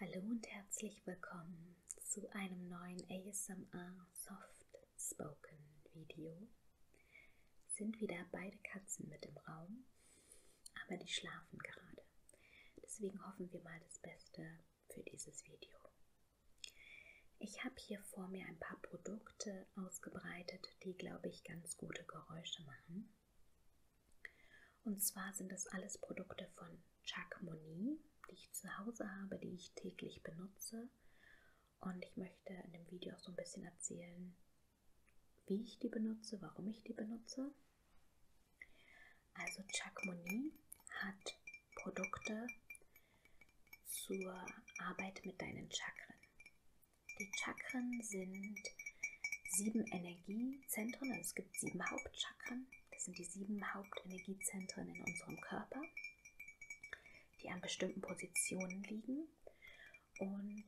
Hallo und herzlich willkommen zu einem neuen ASMR Soft Spoken Video. Sind wieder beide Katzen mit im Raum, aber die schlafen gerade. Deswegen hoffen wir mal das Beste für dieses Video. Ich habe hier vor mir ein paar Produkte ausgebreitet, die, glaube ich, ganz gute Geräusche machen. Und zwar sind das alles Produkte von Chuck Moni, die ich zu Hause habe, die ich täglich benutze. Und ich möchte in dem Video auch so ein bisschen erzählen, wie ich die benutze, warum ich die benutze. Also Chuck Moni hat Produkte zur Arbeit mit deinen Chakren. Die Chakren sind sieben Energiezentren, also es gibt sieben Hauptchakren, das sind die sieben Hauptenergiezentren in unserem Körper, die an bestimmten Positionen liegen und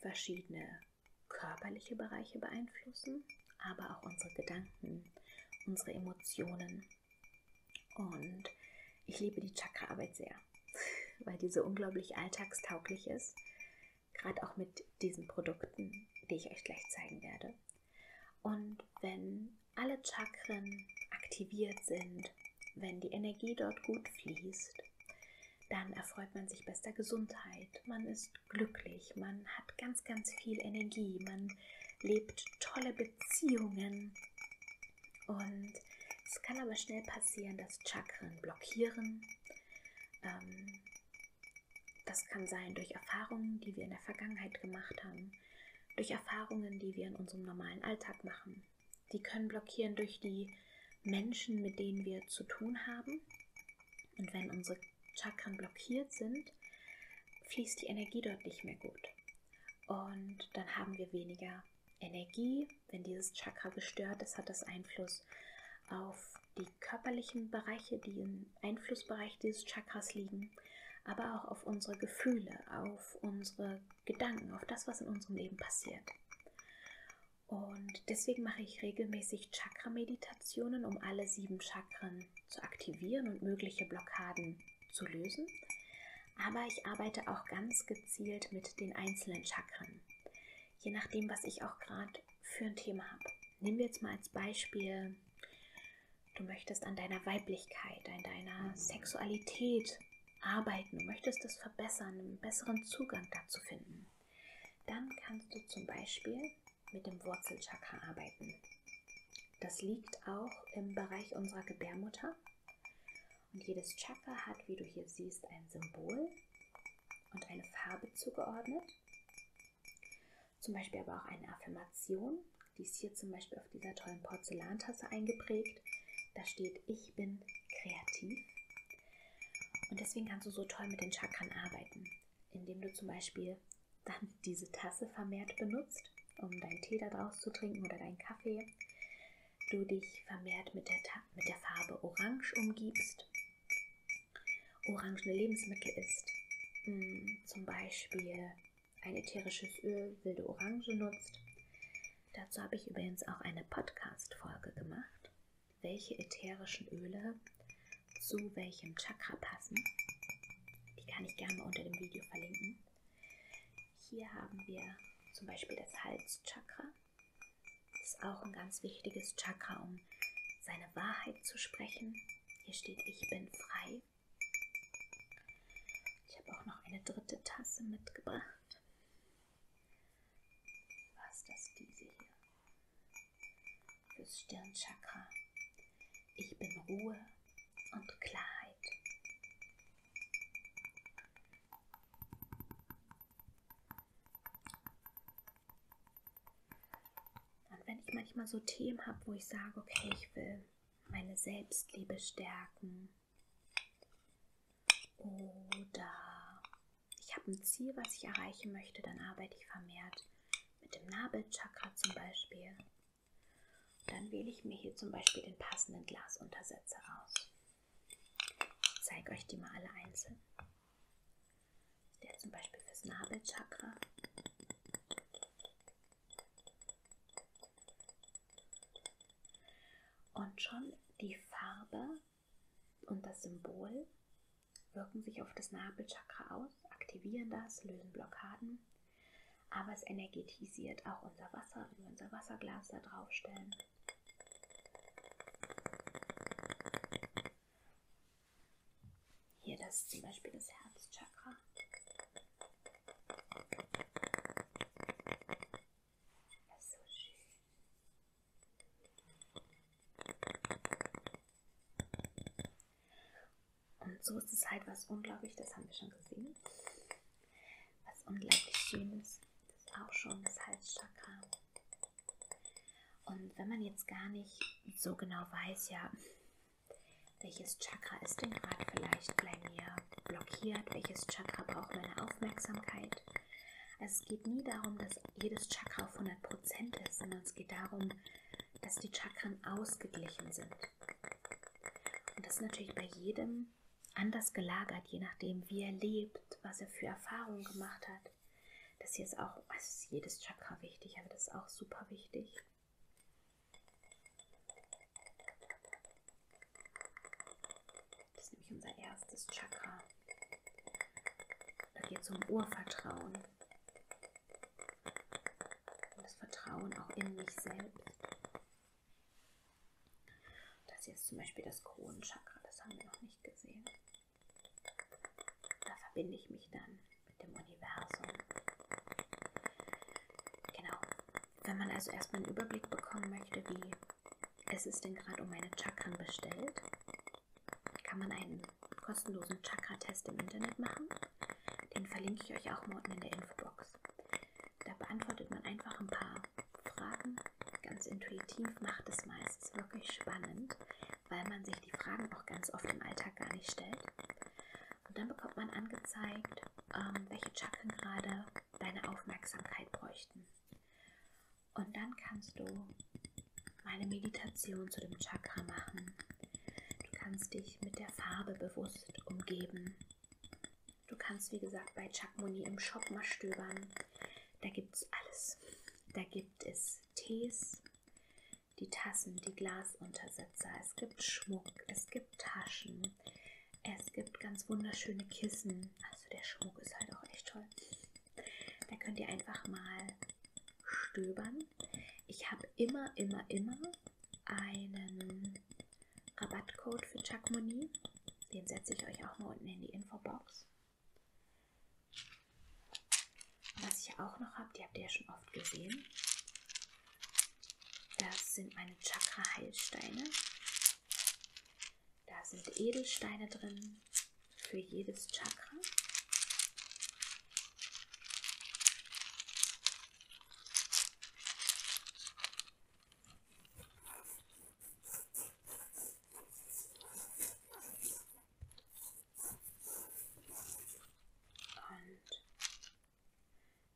verschiedene körperliche Bereiche beeinflussen, aber auch unsere Gedanken, unsere Emotionen. Und ich liebe die Chakraarbeit sehr, weil die so unglaublich alltagstauglich ist. Gerade auch mit diesen Produkten, die ich euch gleich zeigen werde. Und wenn alle Chakren aktiviert sind, wenn die Energie dort gut fließt, dann erfreut man sich bester Gesundheit, man ist glücklich, man hat ganz, ganz viel Energie, man lebt tolle Beziehungen. Und es kann aber schnell passieren, dass Chakren blockieren, ähm, das kann sein durch Erfahrungen, die wir in der Vergangenheit gemacht haben, durch Erfahrungen, die wir in unserem normalen Alltag machen. Die können blockieren durch die Menschen, mit denen wir zu tun haben. Und wenn unsere Chakren blockiert sind, fließt die Energie dort nicht mehr gut. Und dann haben wir weniger Energie. Wenn dieses Chakra gestört ist, hat das Einfluss auf die körperlichen Bereiche, die im Einflussbereich dieses Chakras liegen, aber auch auf unsere Gefühle, auf unsere Gedanken, auf das, was in unserem Leben passiert. Und deswegen mache ich regelmäßig Chakra-Meditationen, um alle sieben Chakren zu aktivieren und mögliche Blockaden zu lösen. Aber ich arbeite auch ganz gezielt mit den einzelnen Chakren. Je nachdem, was ich auch gerade für ein Thema habe. Nehmen wir jetzt mal als Beispiel, du möchtest an deiner Weiblichkeit, an deiner Sexualität arbeiten, du möchtest das verbessern, einen besseren Zugang dazu finden. Dann kannst du zum Beispiel mit dem Wurzelchakra arbeiten. Das liegt auch im Bereich unserer Gebärmutter. Und jedes Chakra hat, wie du hier siehst, ein Symbol und eine Farbe zugeordnet. Zum Beispiel aber auch eine Affirmation. Die ist hier zum Beispiel auf dieser tollen Porzellantasse eingeprägt. Da steht, ich bin kreativ. Und deswegen kannst du so toll mit den Chakren arbeiten, indem du zum Beispiel dann diese Tasse vermehrt benutzt, um deinen Tee daraus zu trinken oder deinen Kaffee. Du dich vermehrt mit der, Ta mit der Farbe Orange umgibst orangene Lebensmittel isst, hm, zum Beispiel ein ätherisches Öl, wilde Orange nutzt. Dazu habe ich übrigens auch eine Podcast-Folge gemacht, welche ätherischen Öle zu welchem Chakra passen. Die kann ich gerne unter dem Video verlinken. Hier haben wir zum Beispiel das Halschakra. Das ist auch ein ganz wichtiges Chakra, um seine Wahrheit zu sprechen. Hier steht, ich bin frei. Ich habe auch noch eine dritte Tasse mitgebracht. Was das diese hier? Fürs Stirnchakra. Ich bin Ruhe und Klarheit. Und wenn ich manchmal so Themen habe, wo ich sage, okay, ich will meine Selbstliebe stärken oder ich habe ein Ziel, was ich erreichen möchte, dann arbeite ich vermehrt mit dem Nabelchakra zum Beispiel. Dann wähle ich mir hier zum Beispiel den passenden Glasuntersetzer aus. Ich zeige euch die mal alle einzeln. Der zum Beispiel fürs Nabelchakra. Und schon die Farbe und das Symbol wirken sich auf das Nabelchakra aus, aktivieren das, lösen Blockaden. Aber es energetisiert auch unser Wasser, wenn wir unser Wasserglas da draufstellen. Hier, das ist zum Beispiel das Herzchakra. Das ist so schön. Und so ist es halt was unglaublich, das haben wir schon gesehen was unglaublich Schönes. Das ist auch schon das Halschakra. Und wenn man jetzt gar nicht so genau weiß, ja, welches Chakra ist denn gerade vielleicht bei mir blockiert, welches Chakra braucht meine Aufmerksamkeit. Also es geht nie darum, dass jedes Chakra auf 100% ist, sondern es geht darum, dass die Chakren ausgeglichen sind. Und das ist natürlich bei jedem anders gelagert, je nachdem, wie er lebt, was er für Erfahrungen gemacht hat. Das hier ist auch, also ist jedes Chakra wichtig, aber das ist auch super wichtig. Das ist nämlich unser erstes Chakra. Da geht es um Urvertrauen. Und das Vertrauen auch in mich selbst. Das hier ist zum Beispiel das Kronenchakra, das haben wir noch nicht gesehen. Da verbinde ich mich dann mit dem Universum. Genau. Wenn man also erstmal einen Überblick bekommen möchte, wie es ist denn gerade um meine Chakren bestellt, kann man einen kostenlosen Chakra-Test im Internet machen. Den verlinke ich euch auch mal unten in der Infobox. Da beantwortet man einfach ein paar Fragen ganz intuitiv macht es meistens wirklich spannend, weil man sich die Fragen auch ganz oft im Alltag gar nicht stellt. Und dann bekommt man angezeigt, ähm, welche Chakren gerade deine Aufmerksamkeit bräuchten. Und dann kannst du meine Meditation zu dem Chakra machen. Du kannst dich mit der Farbe bewusst umgeben. Du kannst, wie gesagt, bei Chuck Money im Shop mal stöbern. Da gibt es alles. Da gibt es Tees, die Tassen, die Glasuntersetzer, es gibt Schmuck, es gibt Taschen, es gibt ganz wunderschöne Kissen. Also der Schmuck ist halt auch echt toll. Da könnt ihr einfach mal stöbern. Ich habe immer, immer, immer einen Rabattcode für Chakmoni. Den setze ich euch auch mal unten in die Infobox. Was ich auch noch habe, die habt ihr ja schon oft gesehen. Das sind meine Chakra-Heilsteine. Da sind Edelsteine drin für jedes Chakra. Und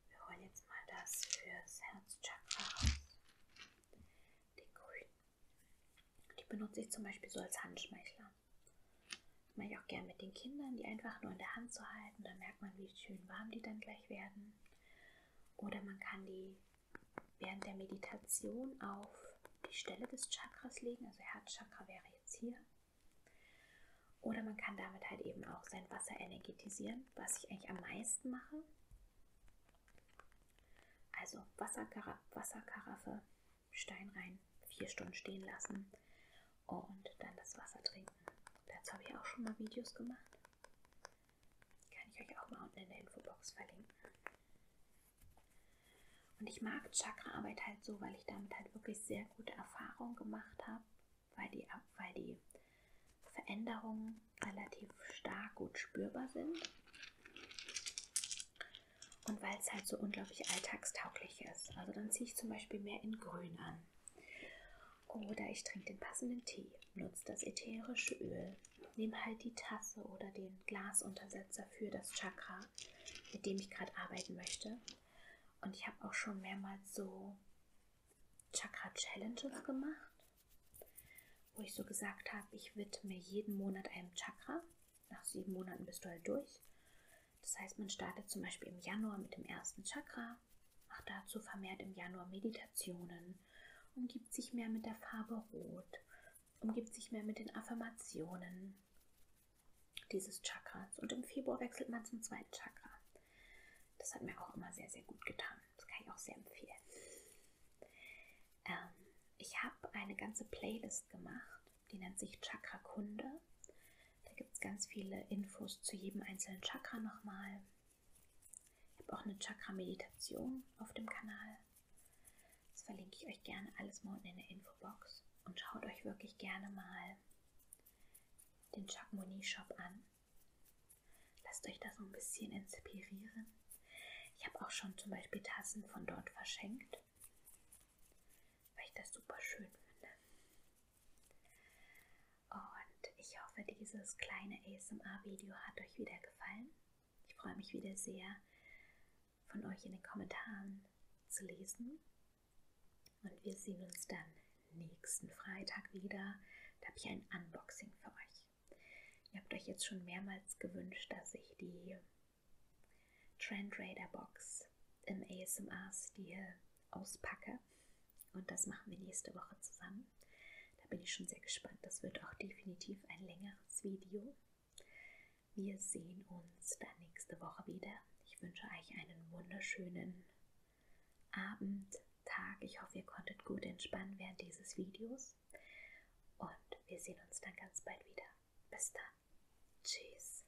wir holen jetzt mal das fürs Herzchakra raus. Den grünen. Die benutze ich zum Beispiel so als Handschmeichler. Das mache ich auch gerne mit den Kindern, die einfach nur in der Hand zu halten. Da merkt man, wie schön warm die dann gleich werden. Oder man kann die während der Meditation auf die Stelle des Chakras legen, also Herzchakra wäre jetzt hier. Oder man kann damit halt eben auch sein Wasser energetisieren, was ich eigentlich am meisten mache. Also Wasserkara Wasserkaraffe, Stein rein, vier Stunden stehen lassen und dann das Wasser trinken. Dazu habe ich auch schon mal Videos gemacht. Kann ich euch auch mal unten in der Infobox verlinken. Und ich mag Chakraarbeit halt so, weil ich damit halt wirklich sehr gute Erfahrungen gemacht habe, weil die, weil die Veränderungen relativ stark gut spürbar sind und weil es halt so unglaublich alltagstauglich ist. Also dann ziehe ich zum Beispiel mehr in Grün an. Oder ich trinke den passenden Tee, nutze das ätherische Öl, nehme halt die Tasse oder den Glasuntersetzer für das Chakra, mit dem ich gerade arbeiten möchte. Und ich habe auch schon mehrmals so Chakra-Challenges gemacht, wo ich so gesagt habe, ich widme jeden Monat einem Chakra. Nach sieben Monaten bist du halt durch. Das heißt, man startet zum Beispiel im Januar mit dem ersten Chakra macht dazu vermehrt im Januar Meditationen, umgibt sich mehr mit der Farbe Rot, umgibt sich mehr mit den Affirmationen dieses Chakras und im Februar wechselt man zum zweiten Chakra. Das hat mir auch immer sehr, sehr gut getan. Das kann ich auch sehr empfehlen. Ähm, ich habe eine ganze Playlist gemacht, die nennt sich Chakra Kunde. Da gibt es ganz viele Infos zu jedem einzelnen Chakra nochmal. Ich habe auch eine Chakra-Meditation auf dem Kanal. Das verlinke ich euch gerne alles mal unten in der Infobox. Und schaut euch wirklich gerne mal den Chakmoni-Shop an. Lasst euch da so ein bisschen inspirieren. Ich habe auch schon zum Beispiel Tassen von dort verschenkt, weil ich das super schön finde. Und ich hoffe, dieses kleine ASMR-Video hat euch wieder gefallen. Ich freue mich wieder sehr, von euch in den Kommentaren zu lesen. Und wir sehen uns dann nächsten Freitag wieder. Da habe ich ein Unboxing für euch. Ihr habt euch jetzt schon mehrmals gewünscht, dass ich die Trend Radar Box im ASMR-Stil auspacke. Und das machen wir nächste Woche zusammen. Da bin ich schon sehr gespannt. Das wird auch definitiv ein längeres Video. Wir sehen uns dann nächste Woche wieder. Ich wünsche euch einen wunderschönen Abend, Tag. Ich hoffe, ihr konntet gut entspannen während dieses Videos. Und wir sehen uns dann ganz bald wieder. Bis dann. Tschüss.